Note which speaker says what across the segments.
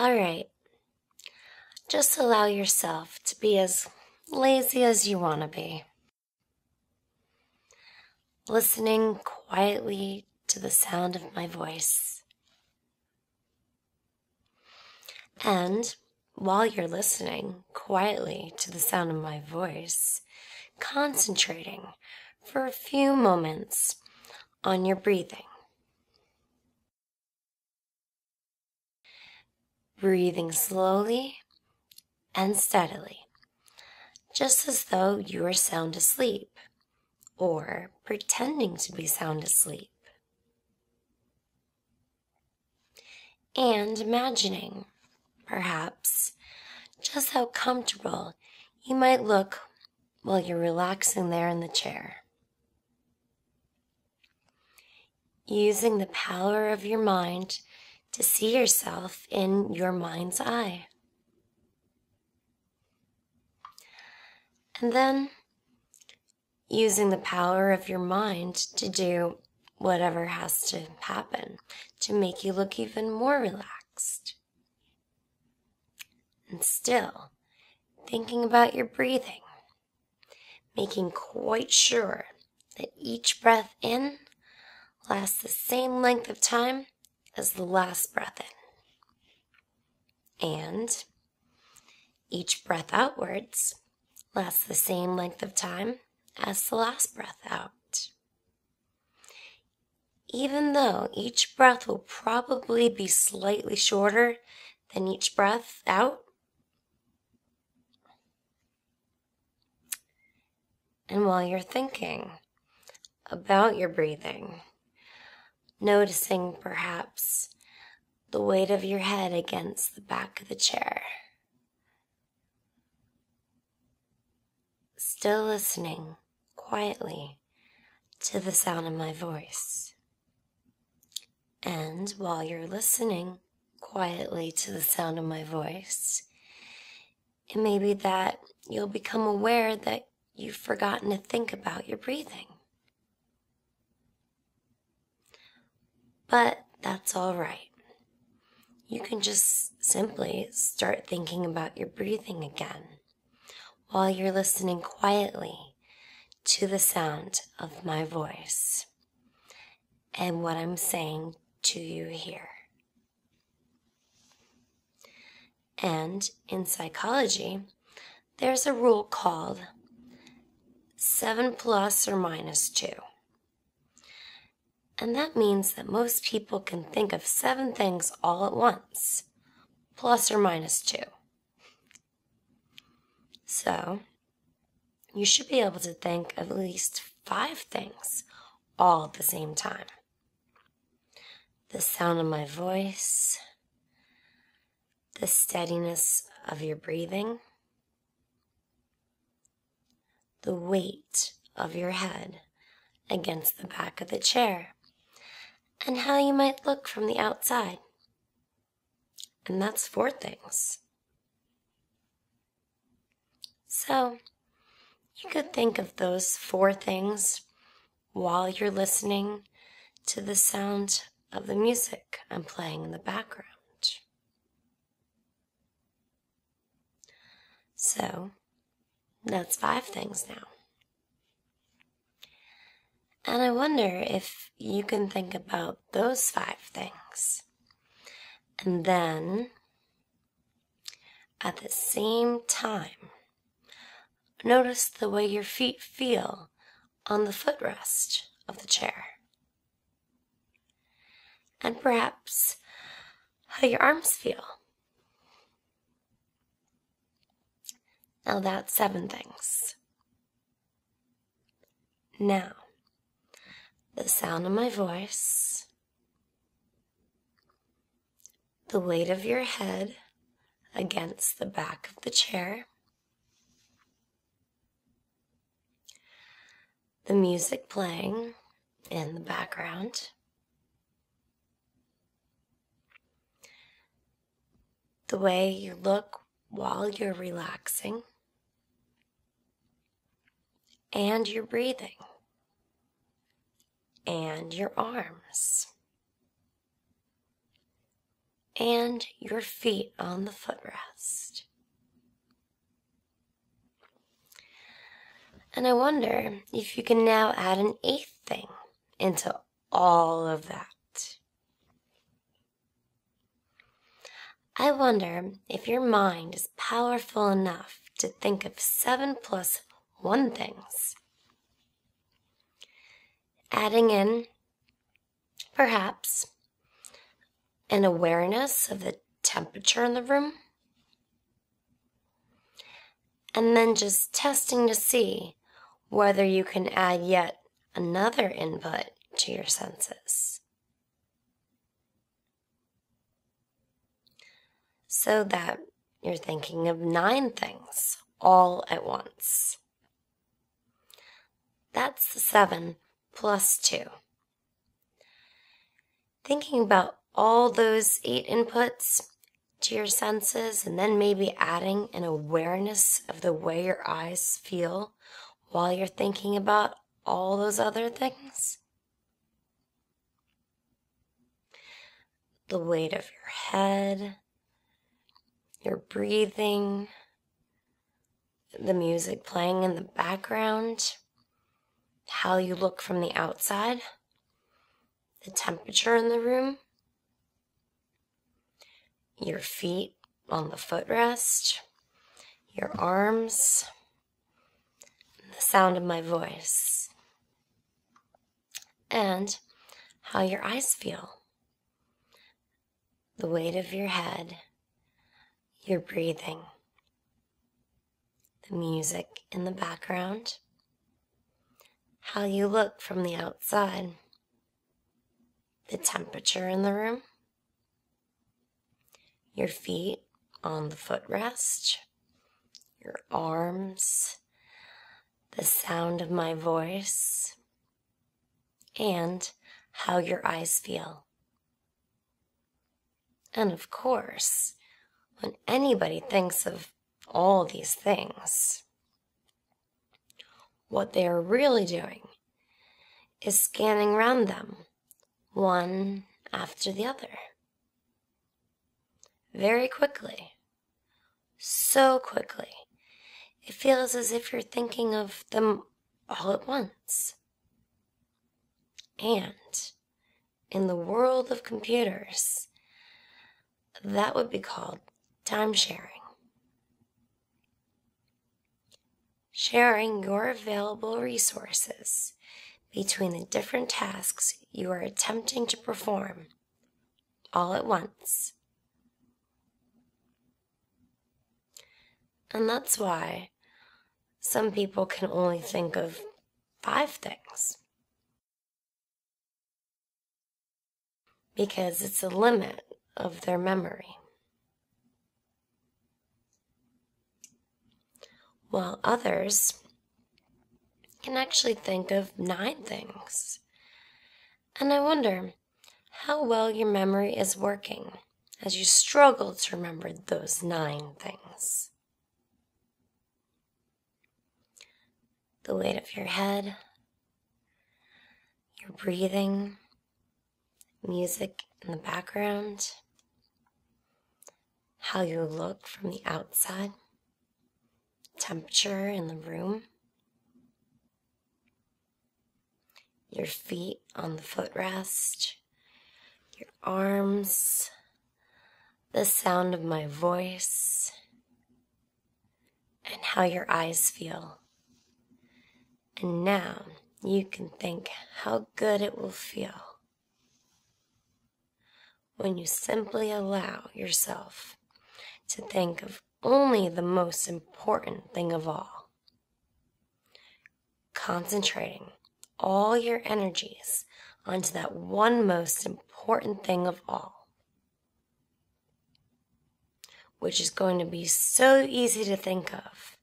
Speaker 1: All right. Just allow yourself to be as lazy as you want to be. Listening quietly to the sound of my voice. And while you're listening quietly to the sound of my voice, concentrating for a few moments on your breathing. Breathing slowly and steadily, just as though you were sound asleep or pretending to be sound asleep, and imagining, perhaps, just how comfortable you might look while you're relaxing there in the chair. Using the power of your mind to see yourself in your mind's eye. And then using the power of your mind to do whatever has to happen to make you look even more relaxed. And still, thinking about your breathing, making quite sure that each breath in lasts the same length of time as the last breath in. And each breath outwards lasts the same length of time as the last breath out. Even though each breath will probably be slightly shorter than each breath out, and while you're thinking, about your breathing, noticing perhaps the weight of your head against the back of the chair. Still listening quietly to the sound of my voice. And while you're listening quietly to the sound of my voice, it may be that you'll become aware that you've forgotten to think about your breathing. But that's all right. You can just simply start thinking about your breathing again while you're listening quietly to the sound of my voice and what I'm saying to you here. And in psychology, there's a rule called 7 plus or minus 2. And that means that most people can think of seven things all at once, plus or minus 2. So, you should be able to think of at least five things all at the same time the sound of my voice, the steadiness of your breathing, the weight of your head against the back of the chair, and how you might look from the outside. And that's four things. So, you could think of those four things while you're listening to the sound of the music I'm playing in the background. So, that's five things now. And I wonder if you can think about those five things. And then at the same time, notice the way your feet feel on the footrest of the chair. And perhaps how your arms feel. Now that's seven things. Now, the sound of my voice the weight of your head against the back of the chair. The music playing in the background. The way you look while you're relaxing and your breathing and your arms and your feet on the footrest. And I wonder if you can now add an eighth thing into all of that. I wonder if your mind is powerful enough to think of seven plus one things. Adding in, perhaps, an awareness of the temperature in the room. And then just testing to see whether you can add yet another input to your senses so that you're thinking of nine things all at once. That's the seven plus two. Thinking about all those eight inputs to your senses and then maybe adding an awareness of the way your eyes feel while you're thinking about all those other things. The weight of your head, your breathing, the music playing in the background, how you look from the outside, the temperature in the room, your feet on the footrest, your arms, the sound of my voice, and how your eyes feel, the weight of your head, your breathing, the music in the background, how you look from the outside, the temperature in the room your feet on the footrest, your arms, the sound of my voice, and how your eyes feel. And of course, when anybody thinks of all these things, what they are really doing is scanning round them, one after the other. Very quickly. So quickly. It feels as if you're thinking of them all at once. And in the world of computers, that would be called time sharing. Sharing your available resources between the different tasks you are attempting to perform all at once. And that's why some people can only think of five things. Because it's a limit of their memory. While others can actually think of nine things. And I wonder how well your memory is working as you struggle to remember those nine things. The weight of your head, your breathing, music in the background, how you look from the outside, temperature in the room, your feet on the footrest, your arms, the sound of my voice, and how your eyes feel. And now you can think how good it will feel when you simply allow yourself to think of only the most important thing of all. Concentrating all your energies onto that one most important thing of all which is going to be so easy to think of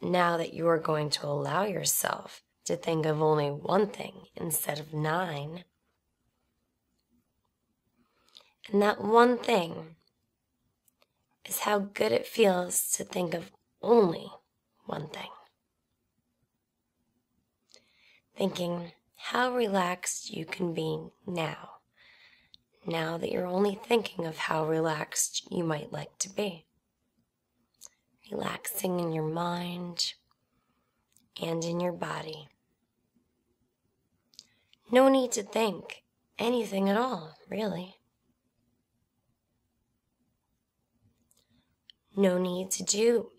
Speaker 1: now that you are going to allow yourself to think of only one thing instead of nine. And that one thing is how good it feels to think of only one thing. Thinking how relaxed you can be now now that you're only thinking of how relaxed you might like to be. Relaxing in your mind and in your body. No need to think anything at all, really. No need to do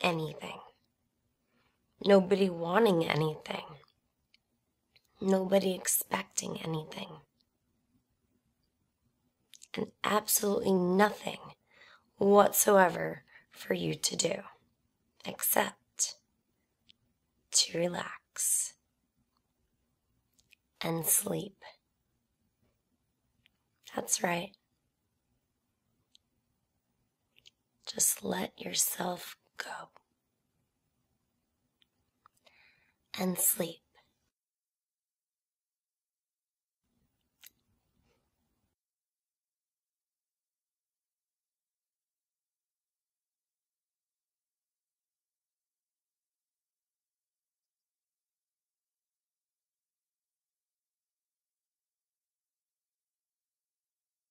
Speaker 1: anything Nobody wanting anything. Nobody expecting anything. And absolutely nothing whatsoever for you to do except to relax and sleep. That's right. Just let yourself go. And sleep.